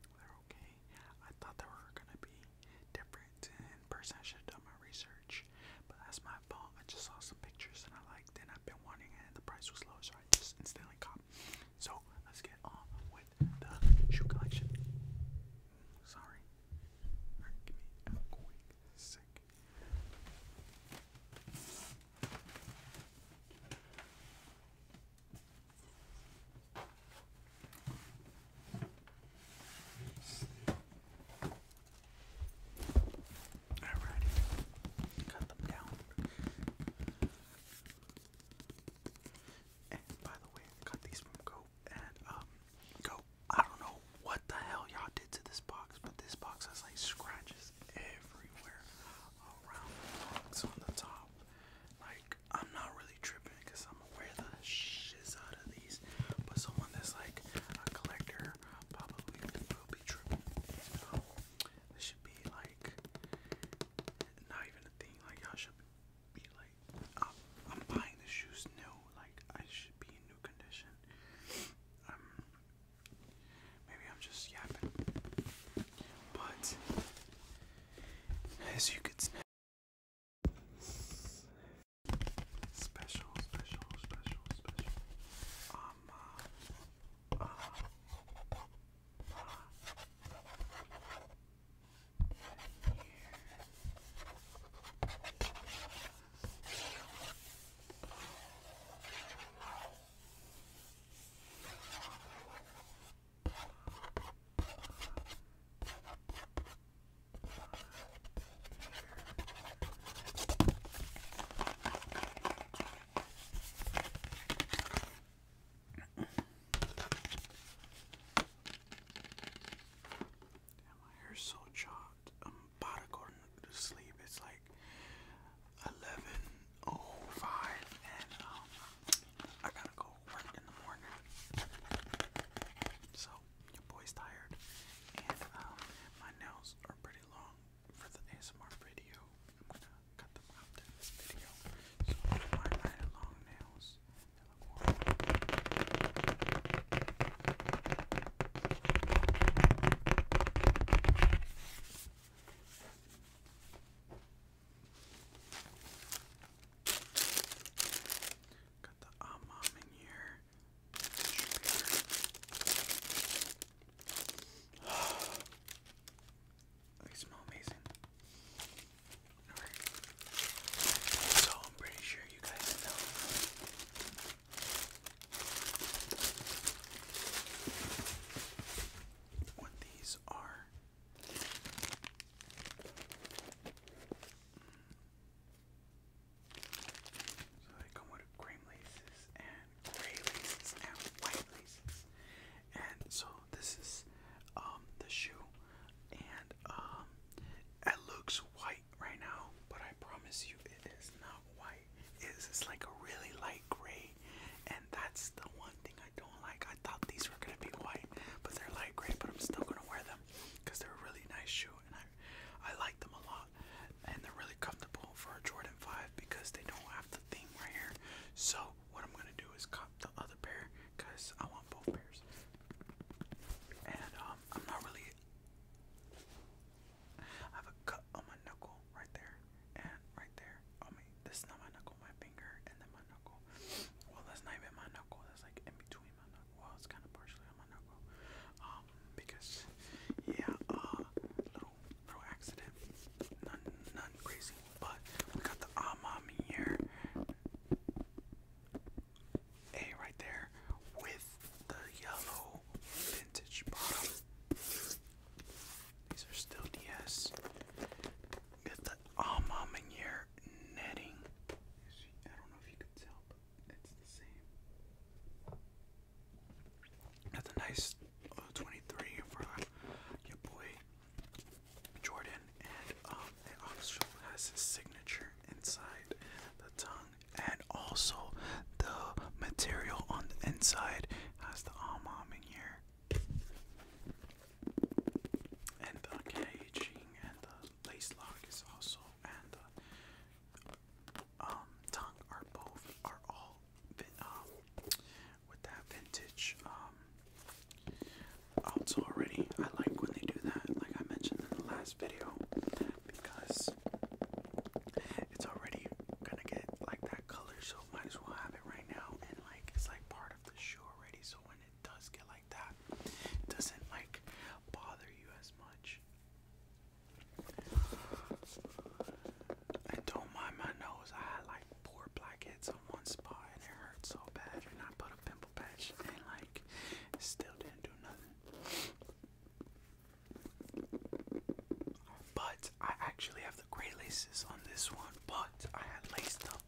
They're okay. I thought they were gonna be different in person. I should have done my research, but that's my fault. I just saw some pictures and I liked it. I've been wanting it. And the price was low, so I just instantly caught. So let's get on with the shoe collection. Sorry. quick sec. Alrighty, cut them down. And by the way, I these from Go and um Go. I don't know what the hell y'all did to this box, but this box has like scratches everywhere around the box on the top. Like I'm not really tripping because I'm aware to the shiz out of these. But someone that's like a collector probably will be tripping. This should be like not even a thing. Like I should be like, I'm, buying the shoes new. Like I should be in new condition. Um, maybe I'm just yapping. But as you could Special, special, special, special. Um, uh, uh, uh, and here. Damn, my hair's so chopped. I'm about to go to sleep. It's like 11:05, and um, I gotta go work in the So, your boy's tired. And um, my nails are pretty long for the ASMR video. I'm gonna cut them out in this video. So, my long nails. Got the um in here. they smell amazing. So I'm pretty sure you guys know. What these are. So they come with cream laces and gray laces and white laces. And so this is um the shoe and um it looks white right now, but I promise you it is not white. It's, it's like a really light gray and that's the one thing I don't like. I thought these were gonna be white, but they're light gray, but I'm still gonna wear them because they're a really nice shoe and I, I like them a lot. And they're really comfortable for a Jordan 5 because they don't have the thing right here. So, what I'm gonna do is cop the other pair because I want both pairs. And um, I'm not really. I have a cut on my knuckle right there and right there. I mean, this is not my knuckle, my finger, and then my knuckle. Well, that's not even my knuckle, that's like in between well, it's kind of partially on my knuckle. Um, because, yeah, uh, little, little accident. None, none crazy. But we got the Ah A right there with the yellow vintage bottom. These are still DS. Get the Ah netting. That's a nice uh, 23 for uh, your boy Jordan, and um, it also has his signature inside the tongue, and also the material on the inside has the almond in here, and the caging, and the lace lock is also, and uh, um, tongue are both are all um, with that vintage um, also already. I like when they do that, like I mentioned in the last video, because it's already gonna get like that color, so might as well have it right now. And like it's like part of the show already, so when it does get like doesn't like bother you as much. I don't mind my nose. I had like four blackheads on one spot and it hurt so bad. And I put a pimple patch and like still didn't do nothing. But I actually have the gray laces on this one, but I had laced them um,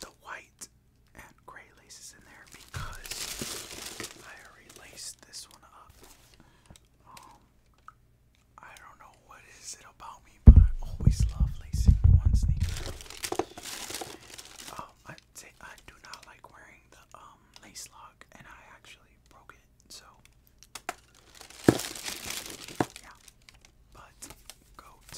the white and gray laces in there because I already laced this one up. Um, I don't know what is it about me, but I always love lacing one sneaker. Um, I, I do not like wearing the um, lace lock, and I actually broke it so, yeah. But, goat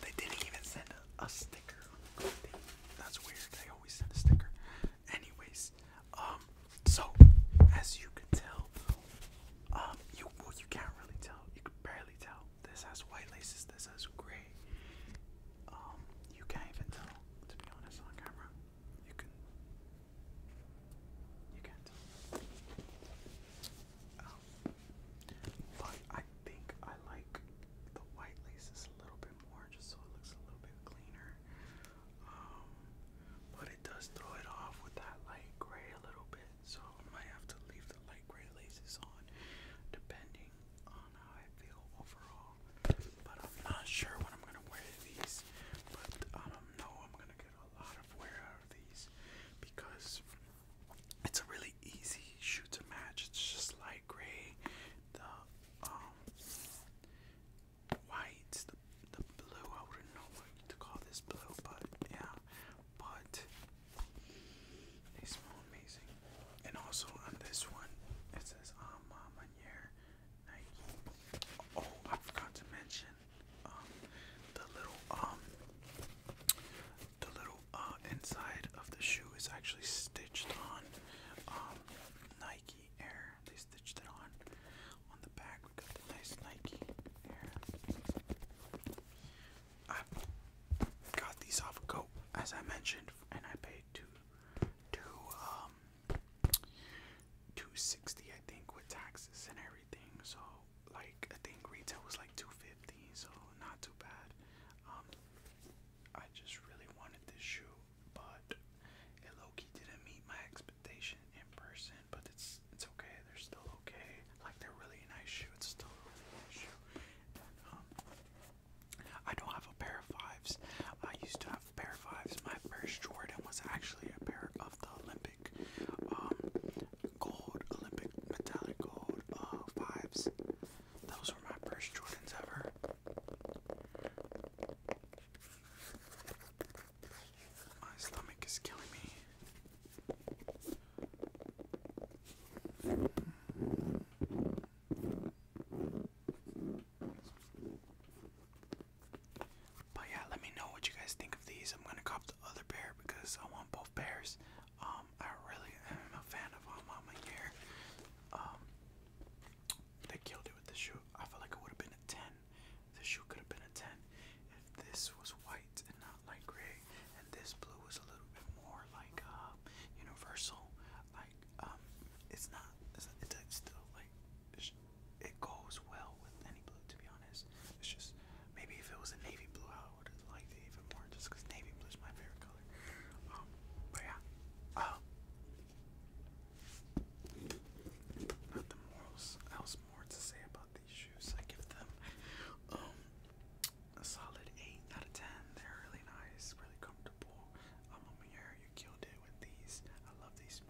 They didn't even send a, sticker That's weird. They always send a sticker. Anyways, um, so as you can tell, um, you you can't really tell. You can barely tell. This has white laces. This has gray. Um, you can't even tell. To be honest, on camera, you can. You can't tell. Um, but I think I like the white laces a little bit more, just so it looks a little bit cleaner. Um, but it does throw it off with that light gray a little bit so I might have to leave the light gray laces on depending on how I feel overall. But I'm not sure when I'm gonna wear these, but I um, know I'm gonna get a lot of wear out of these because it's a really easy shoe to match. It's just light gray, the um white, the the blue. I wouldn't know what to call this blue, but yeah, but they smell amazing. And also on this one, it says um, ah, Manier Nike. Oh, I forgot to mention um, the little um, the little uh, inside of the shoe is actually stitched on um, Nike Air. They stitched it on, on the back, we got the nice Nike I got these off of Go, as I mentioned, and I paid two, um, two sixty, I think, with taxes and everything. So, like, I think retail was like two fifty, so not too bad. Um, I just really wanted this shoe, but it low didn't meet my expectation in person but it's it's okay. They're still okay. Like they're really nice shoe. still really nice shoe. Um, I don't have a pair of fives. I used to have a pair of fives. My first Jordan was actually a pair of the Olympic um, gold, Olympic metallic gold uh, fives. Those were my first Jordans ever. My stomach is killing me. But yeah, let me know what you guys think of these. I'm gonna cop the other pair because I want both pairs. Um, I really am a fan of um, gear. Um, they killed it with the shoe. I feel like it would have been a 10. The shoe could have been a 10 if this was white and not like gray, and this blue is a little bit more like uh, universal. Like um, it's not. It's, it's, still like it goes well with any blue, to be honest. It's just maybe if it was a navy blue, I would have liked it even more, just because navy blue is my favorite color. Um, but yeah. Uh, not the morals else more to say about these shoes. I give them um, a solid eight out of ten. They're really nice, really comfortable. Um, Amir, you killed it with these. I love these.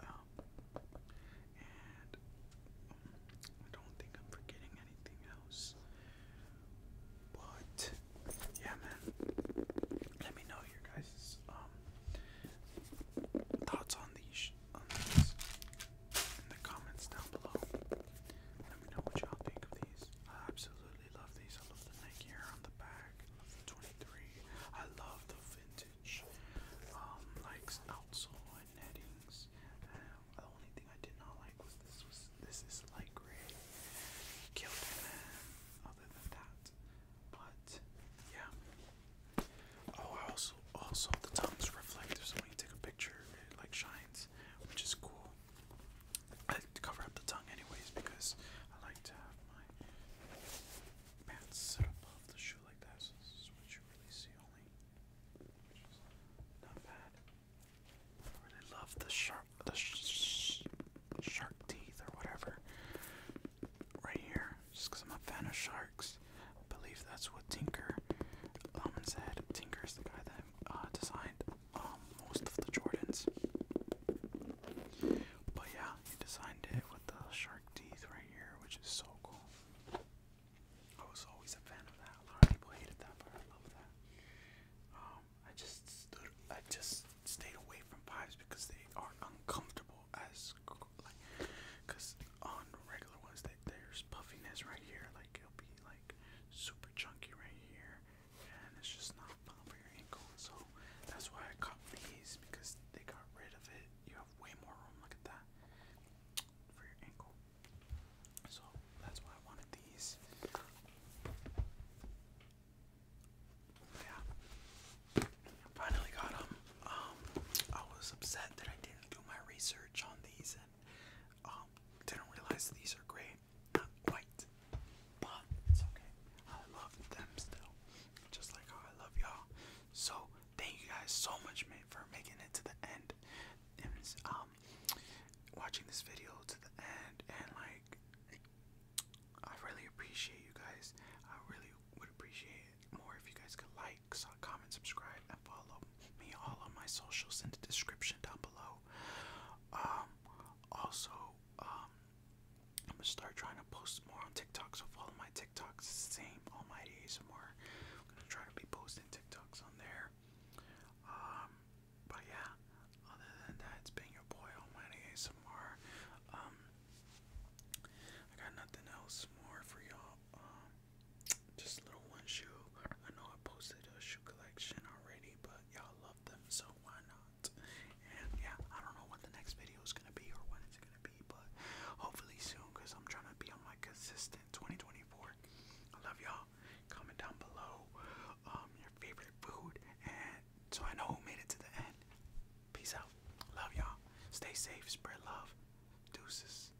Um, and um, I don't think I'm forgetting anything else. But yeah, man. Let me know your guys' thoughts on these in the comments down below. Let me know what y'all think of these. I absolutely love these. I love the Nike Air on the back. I love the 23. I love the vintage, um, like outsole and nettings. Um, the only thing I did not like was this was this is light gray. Um, other than that, but yeah. Oh, I also also the thumbs reflector, so when you take a picture, it like shines, which is cool. I like to cover up the tongue anyways because I like to have my pants set above the shoe like that, so this is what you really see only, not bad. I really love the sharp, the sh shark teeth or whatever right here, just because I'm a fan of sharks. I believe that's what Tinker um, said. Tinker's the guy that uh, designed um, most of the Jordans. But yeah, he designed it with the shark teeth right here, which is so cool. I was always a fan of that. A lot of people hated that, but I love that. Um, I just I just stayed away from pipes because they are uncomfortable as like, cause on regular ones they there's puffiness right here, like it'll be like super chunky right here, and it's just not for your ankle. So that's why I cut these because they got rid of it. You have way more room. Look at that for your ankle. So that's why I wanted these. Yeah, finally got them. Um, I was upset that I didn't do my research on these um, didn't realize these are gray, not white, but it's okay. I love them still, just like I love y'all. So thank you guys so much, for making it to the end. And um, watching this video to the end, and like, I really appreciate you guys. I really would appreciate more if you guys could like. Uh, comment, subscribe, and follow me all on my socials in the description down below. Um, also, um, I'm gonna start trying to post more on TikTok, so follow my TikToks, same Almighty ASMR. I'm gonna try to be posting TikToks on there. Um, but yeah, other than that, it's been your boy Almighty ASMR. I got nothing else more for y'all just little one shoe. I know I posted a shoe collection already, but y'all love them, so why not? And yeah, I don't know what the next video is gonna be or when it's gonna be, but hopefully soon, cause I'm trying to be on my consistent 2024. I love y'all. Comment down below um, your favorite food, and so I know who made it to the end. Peace out. Love y'all. Stay safe. Spread love. Deuces.